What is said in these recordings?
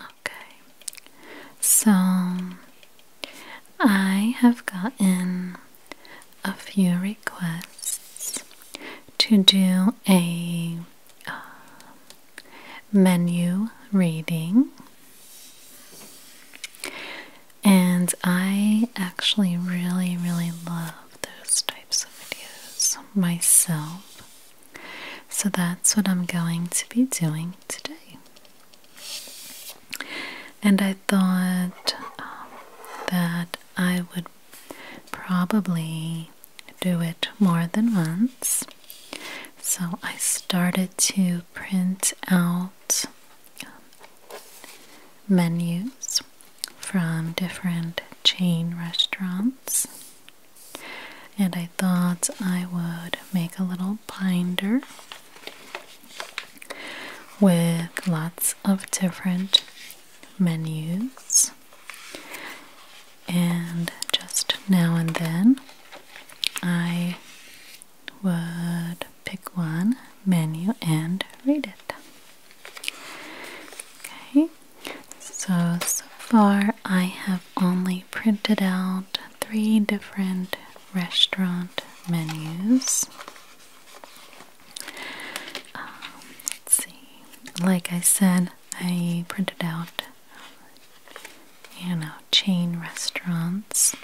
Okay, so I have gotten a few requests to do a um, menu reading, and I actually really, really love those types of videos myself. So that's what I'm going to be doing today. And I thought um, that I would probably do it more than once. So I started to print out um, menus from different chain restaurants and I thought I would make a little binder with lots of different menus and just now and then I would pick one menu and read it. Okay, so, so far I have only printed out three different restaurant menus. Um, see. Like I said, I printed out, you know, chain restaurants.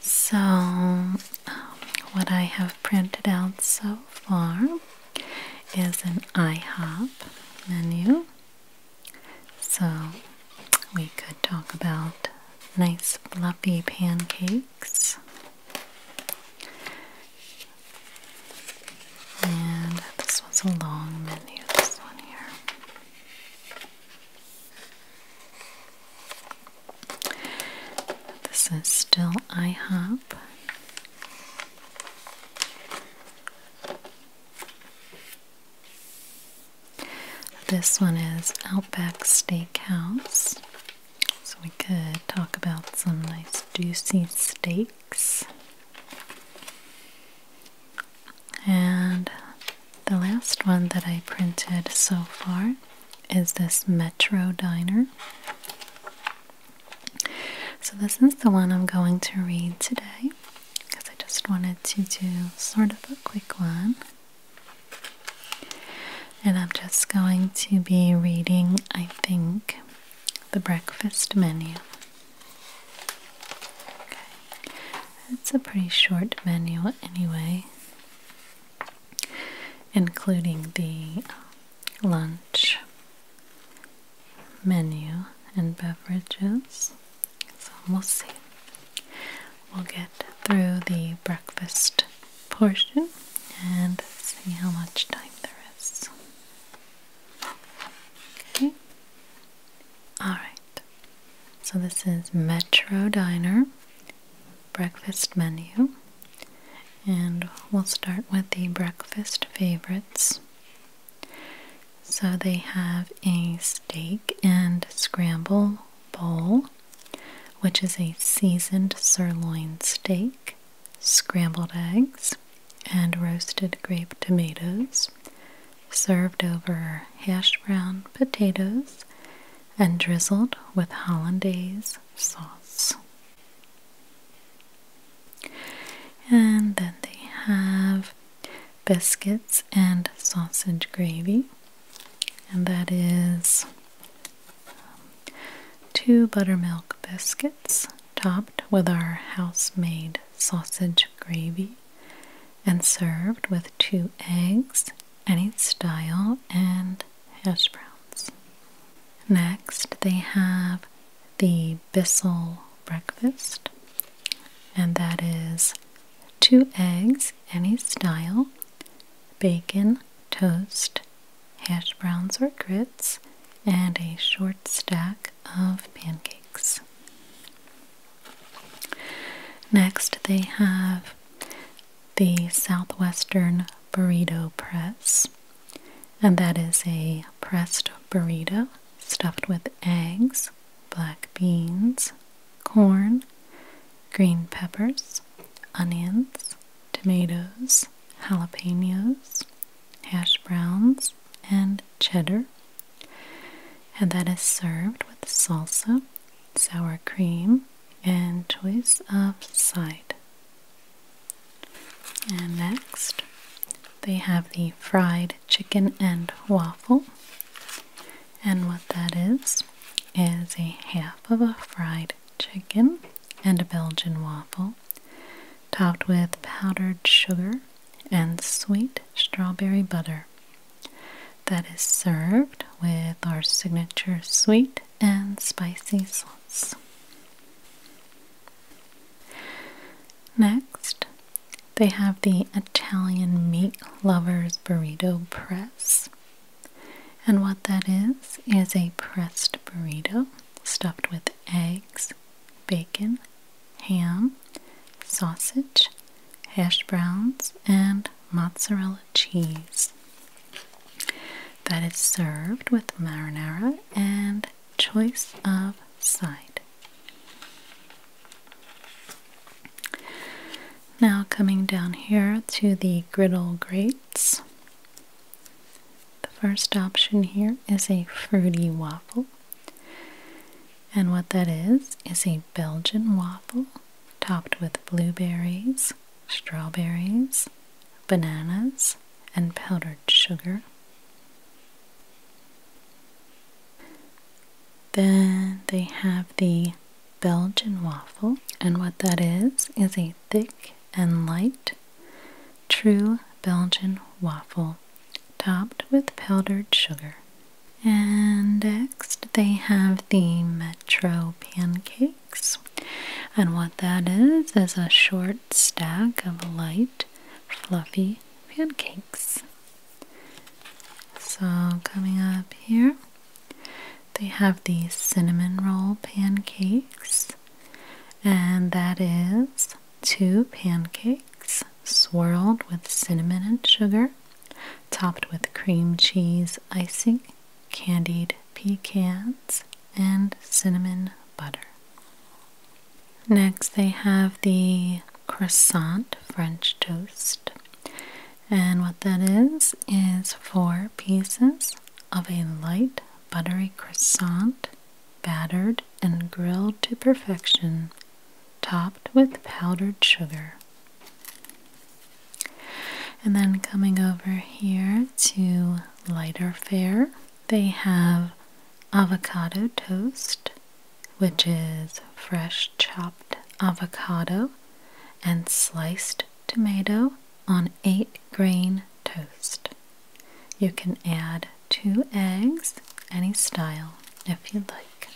So, um, what I have printed out so far is an IHOP menu. So we could talk about nice fluffy pancakes and this was a long menu this one here this is still IHOP this one is Outback Steakhouse. So we could talk about some nice juicy steaks. And the last one that I printed so far is this Metro Diner. So, this is the one I'm going to read today because I just wanted to do sort of a quick one. And I'm just going to be reading, I think, the breakfast menu. Okay. It's a pretty short menu, anyway, including the um, lunch menu and beverages. So we'll see. We'll get through the breakfast portion and see how much time there is. Okay. Alright. So this is Metro Diner breakfast menu. And we'll start with the breakfast favorites. So they have a steak and scramble bowl, which is a seasoned sirloin steak, scrambled eggs, and roasted grape tomatoes, served over hash brown potatoes and drizzled with hollandaise sauce. And then they have biscuits and sausage gravy, and that is um, two buttermilk biscuits topped with our house made sausage gravy and served with two eggs, any style, and hash browns. Next, they have the a Bissell breakfast, and that is two eggs, any style, bacon, toast, hash browns or grits, and a short stack of pancakes. Next, they have the Southwestern Burrito Press. And that is a pressed burrito stuffed with eggs, black beans, corn, green peppers, onions, tomatoes, jalapenos, hash browns, and cheddar. And that is served with salsa, sour cream, and choice of side. And next, they have the fried chicken and waffle. And what that is, is a half of a fried chicken and a Belgian waffle, topped with powdered sugar and sweet strawberry butter. That is served with our signature sweet and spicy sauce. Next, they have the Italian Meat Lovers Burrito Press. And what that is, is a pressed burrito stuffed with eggs, bacon, ham, sausage, hash browns, and mozzarella cheese. That is served with marinara and choice of side. Now, coming down here to the griddle grates, the first option here is a fruity waffle. And what that is, is a Belgian waffle topped with blueberries, strawberries, bananas, and powdered sugar. Then they have the Belgian waffle, and what that is is a thick and light, true Belgian waffle topped with powdered sugar. And next they have the Metro pancakes, and what that is is a short stack of light, fluffy pancakes. So, coming up here, they have these cinnamon roll pancakes, and that is two pancakes swirled with cinnamon and sugar, topped with cream cheese icing, candied pecans, and cinnamon butter. Next, they have the croissant French toast, and what that is is four pieces of a light buttery croissant, battered and grilled to perfection, topped with powdered sugar. And then coming over here to lighter fare, they have avocado toast, which is fresh chopped avocado and sliced tomato on eight grain toast. You can add two eggs, any style, if you like.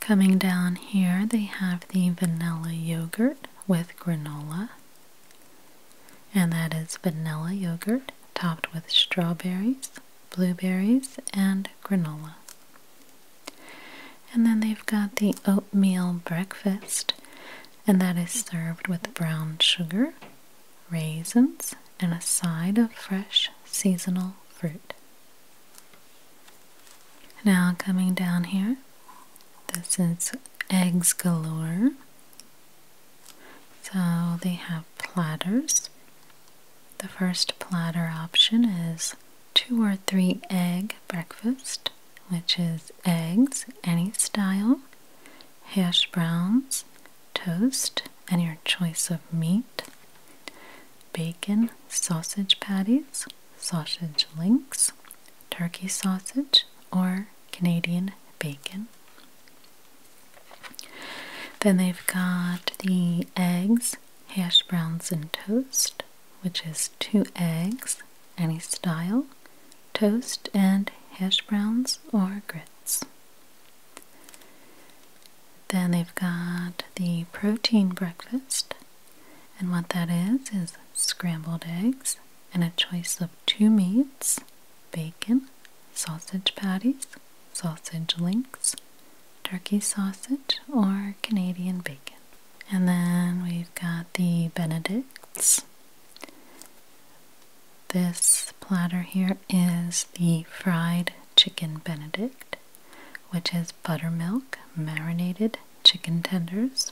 Coming down here, they have the vanilla yogurt with granola and that is vanilla yogurt topped with strawberries, blueberries, and granola. And then they've got the oatmeal breakfast, and that is served with brown sugar, raisins, and a side of fresh seasonal fruit. Now, coming down here, this is eggs galore. So they have platters. The first platter option is two or three egg breakfast, which is eggs, any style, hash browns, toast, and your choice of meat, bacon, sausage patties, sausage links, turkey sausage, or Canadian bacon. Then they've got the eggs, hash browns, and toast, which is two eggs, any style, toast, and hash browns or grits. Then they've got the protein breakfast, and what that is is scrambled eggs, and a choice of two meats bacon, sausage patties, sausage links, turkey sausage, or Canadian bacon. And then we've got the Benedicts. This platter here is the fried chicken Benedict, which is buttermilk, marinated chicken tenders,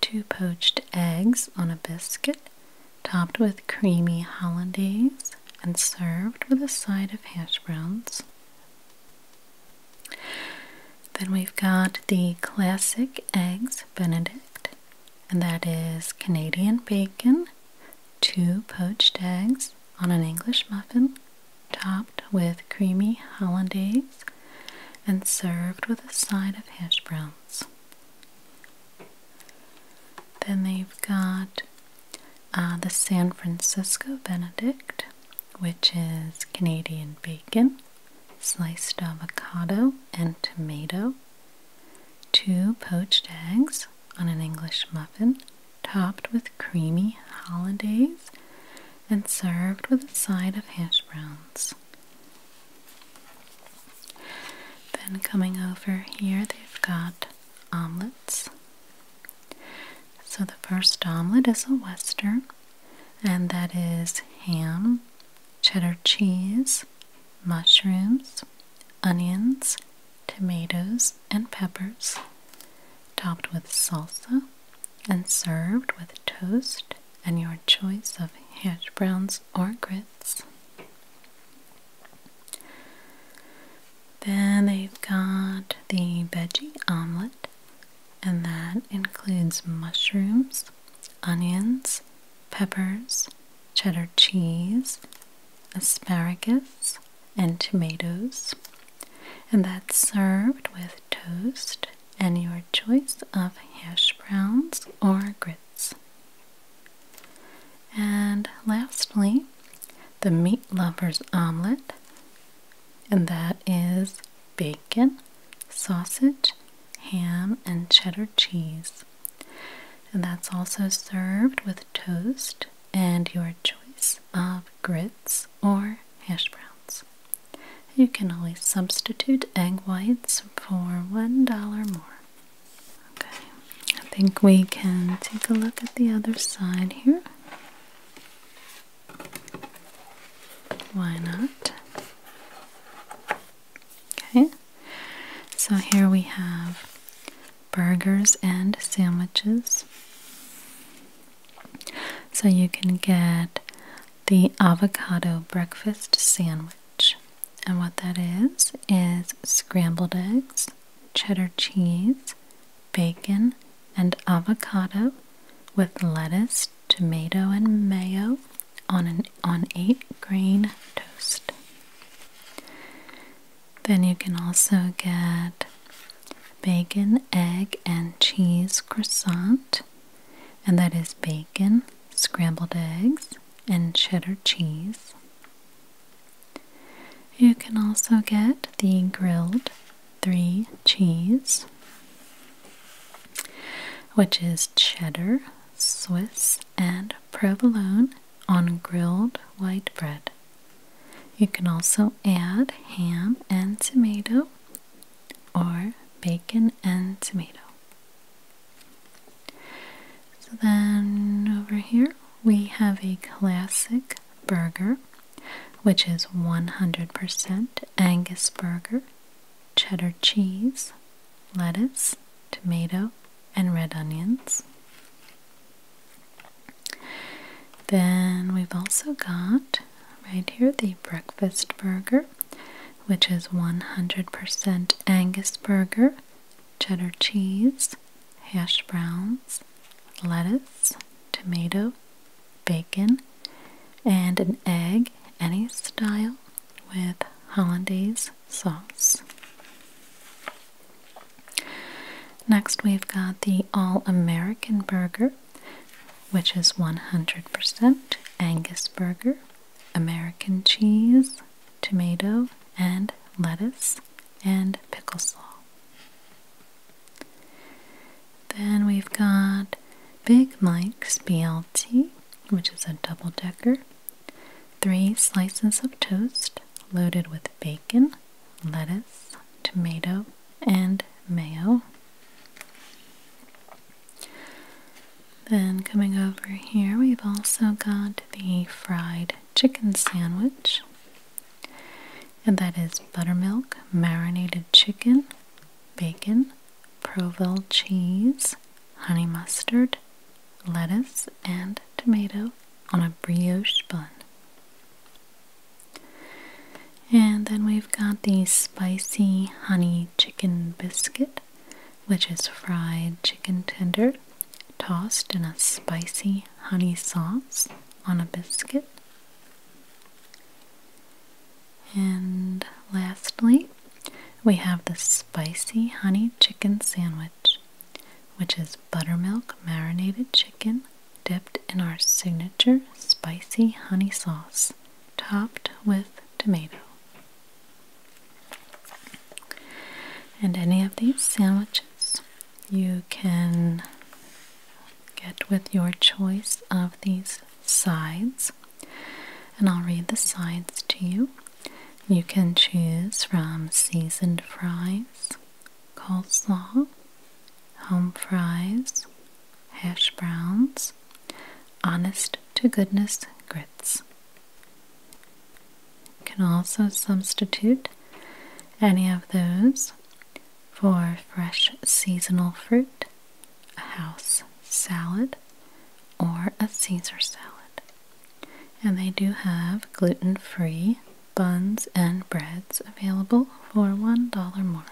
two poached eggs on a biscuit, topped with creamy hollandaise, and served with a side of hash browns. Then we've got the classic eggs benedict, and that is Canadian bacon, two poached eggs on an English muffin, topped with creamy hollandaise, and served with a side of hash browns. Then they've got uh, the San Francisco Benedict, which is Canadian bacon, sliced avocado, and tomato, two poached eggs on an English muffin, topped with creamy hollandaise, and served with a side of hash browns. Then coming over here, they've got omelets. So the first omelet is a Western, and that is ham, cheddar cheese, mushrooms, onions, tomatoes, and peppers, topped with salsa and served with toast, and your choice of hash browns or grits. Then they've got the veggie omelet, and that includes mushrooms, onions, peppers, cheddar cheese, asparagus, and tomatoes. And that's served with toast and your choice of hash browns or grits. And lastly, the meat lover's omelet, and that is bacon, sausage, ham, and cheddar cheese. And that's also served with toast and your choice of grits or hash browns. You can always substitute egg whites for one dollar more. Okay, I think we can take a look at the other side here. Why not? Okay, so here we have burgers and sandwiches. So you can get the avocado breakfast sandwich. And what that is is scrambled eggs, cheddar cheese, bacon, and avocado with lettuce, tomato, and mayo on an on 8 grain toast. Then you can also get bacon, egg, and cheese croissant, and that is bacon, scrambled eggs, and cheddar cheese. You can also get the grilled three cheese, which is cheddar, Swiss, and provolone on grilled white bread. You can also add ham and tomato or bacon and tomato. So then over here we have a classic burger, which is 100% Angus burger, cheddar cheese, lettuce, tomato, and red onions. Then we've also got right here the breakfast burger, which is 100% Angus burger, cheddar cheese, hash browns, lettuce, tomato, bacon, and an egg, any style, with hollandaise sauce. Next, we've got the All American Burger, which is 100% Angus burger, American cheese, tomato, and lettuce, and pickle slaw. Then we've got Big Mike's BLT, which is a double decker, three slices of toast loaded with bacon, lettuce, tomato, and mayo. Then coming over here, we've also got the fried chicken sandwich. And that is buttermilk, marinated chicken, bacon, Provel cheese, honey mustard, lettuce, and tomato on a brioche bun. And then we've got the spicy honey chicken biscuit, which is fried chicken tender tossed in a spicy honey sauce on a biscuit. And lastly, we have the spicy honey chicken sandwich, which is buttermilk marinated chicken dipped in our signature spicy honey sauce, topped with tomato. And any of these sandwiches you can get with your choice of these sides. And I'll read the sides to you. You can choose from seasoned fries, coleslaw, home fries, hash browns, honest to goodness grits. You can also substitute any of those for fresh seasonal fruit, a house salad, or a Caesar salad. And they do have gluten free buns and breads available for $1 more.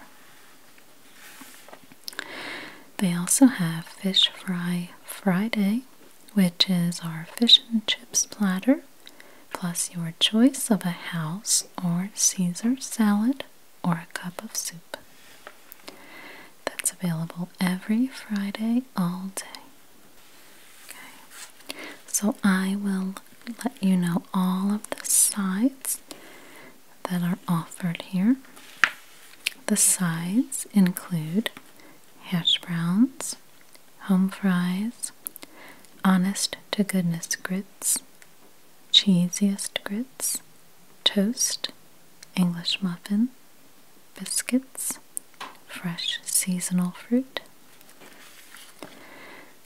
They also have Fish Fry Friday, which is our fish and chips platter, plus your choice of a house or Caesar salad or a cup of soup. That's available every Friday all day. Okay, so I will let you know all of the sides that are offered here. The sides include hash browns, home fries, honest to goodness grits, cheesiest grits, toast, English muffin, biscuits, fresh seasonal fruit,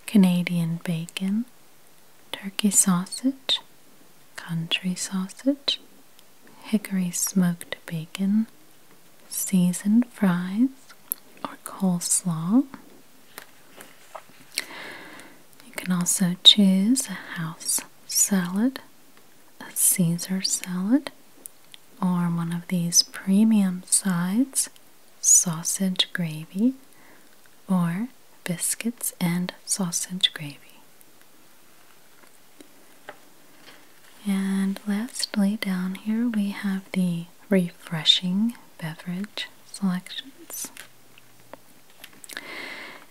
Canadian bacon, turkey sausage, country sausage, hickory smoked bacon, seasoned fries, or coleslaw. You can also choose a house salad, a Caesar salad, or one of these premium sides, sausage gravy, or biscuits, and sausage gravy. And lastly, down here we have the refreshing beverage selections.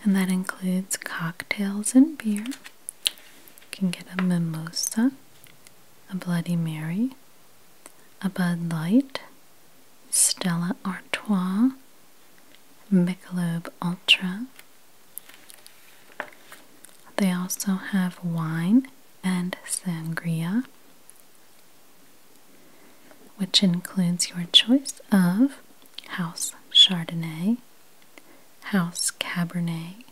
And that includes cocktails and beer. You can get a mimosa, a Bloody Mary, a Bud Light, Stella Artois, Michelob Ultra. They also have wine and sangria, which includes your choice of house Chardonnay, house Cabernet,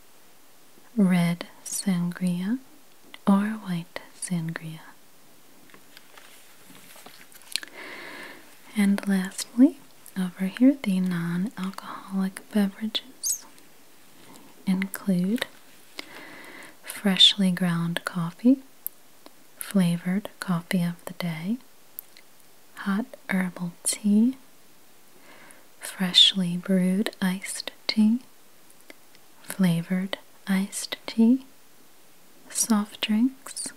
red sangria, or white sangria. And lastly, over here, the non alcoholic beverages include freshly ground coffee, flavored coffee of the day, hot herbal tea, freshly brewed iced tea, flavored iced tea soft drinks,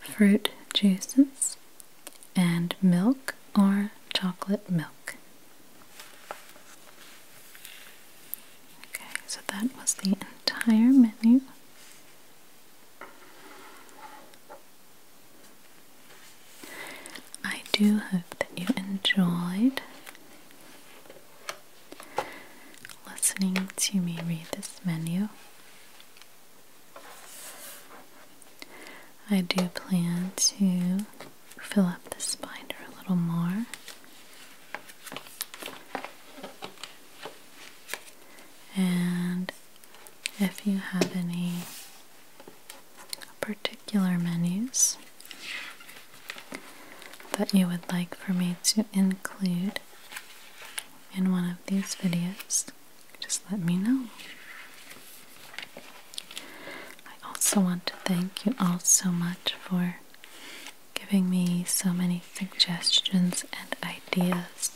fruit juices, and milk or chocolate milk. Okay, so that was the entire menu. I do hope that you enjoyed listening to me read this menu. I do plan to fill up this binder a little more. And if you have any particular menus that you would like for me to include in one of these videos, just let me know. I also want to thank you all so much for giving me so many suggestions and ideas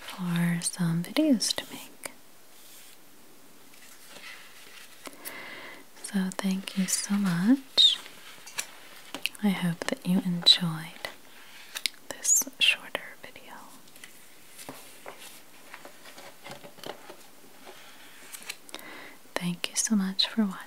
for some videos to make. So, thank you so much. I hope that you enjoyed this shorter video. Thank you so much for watching.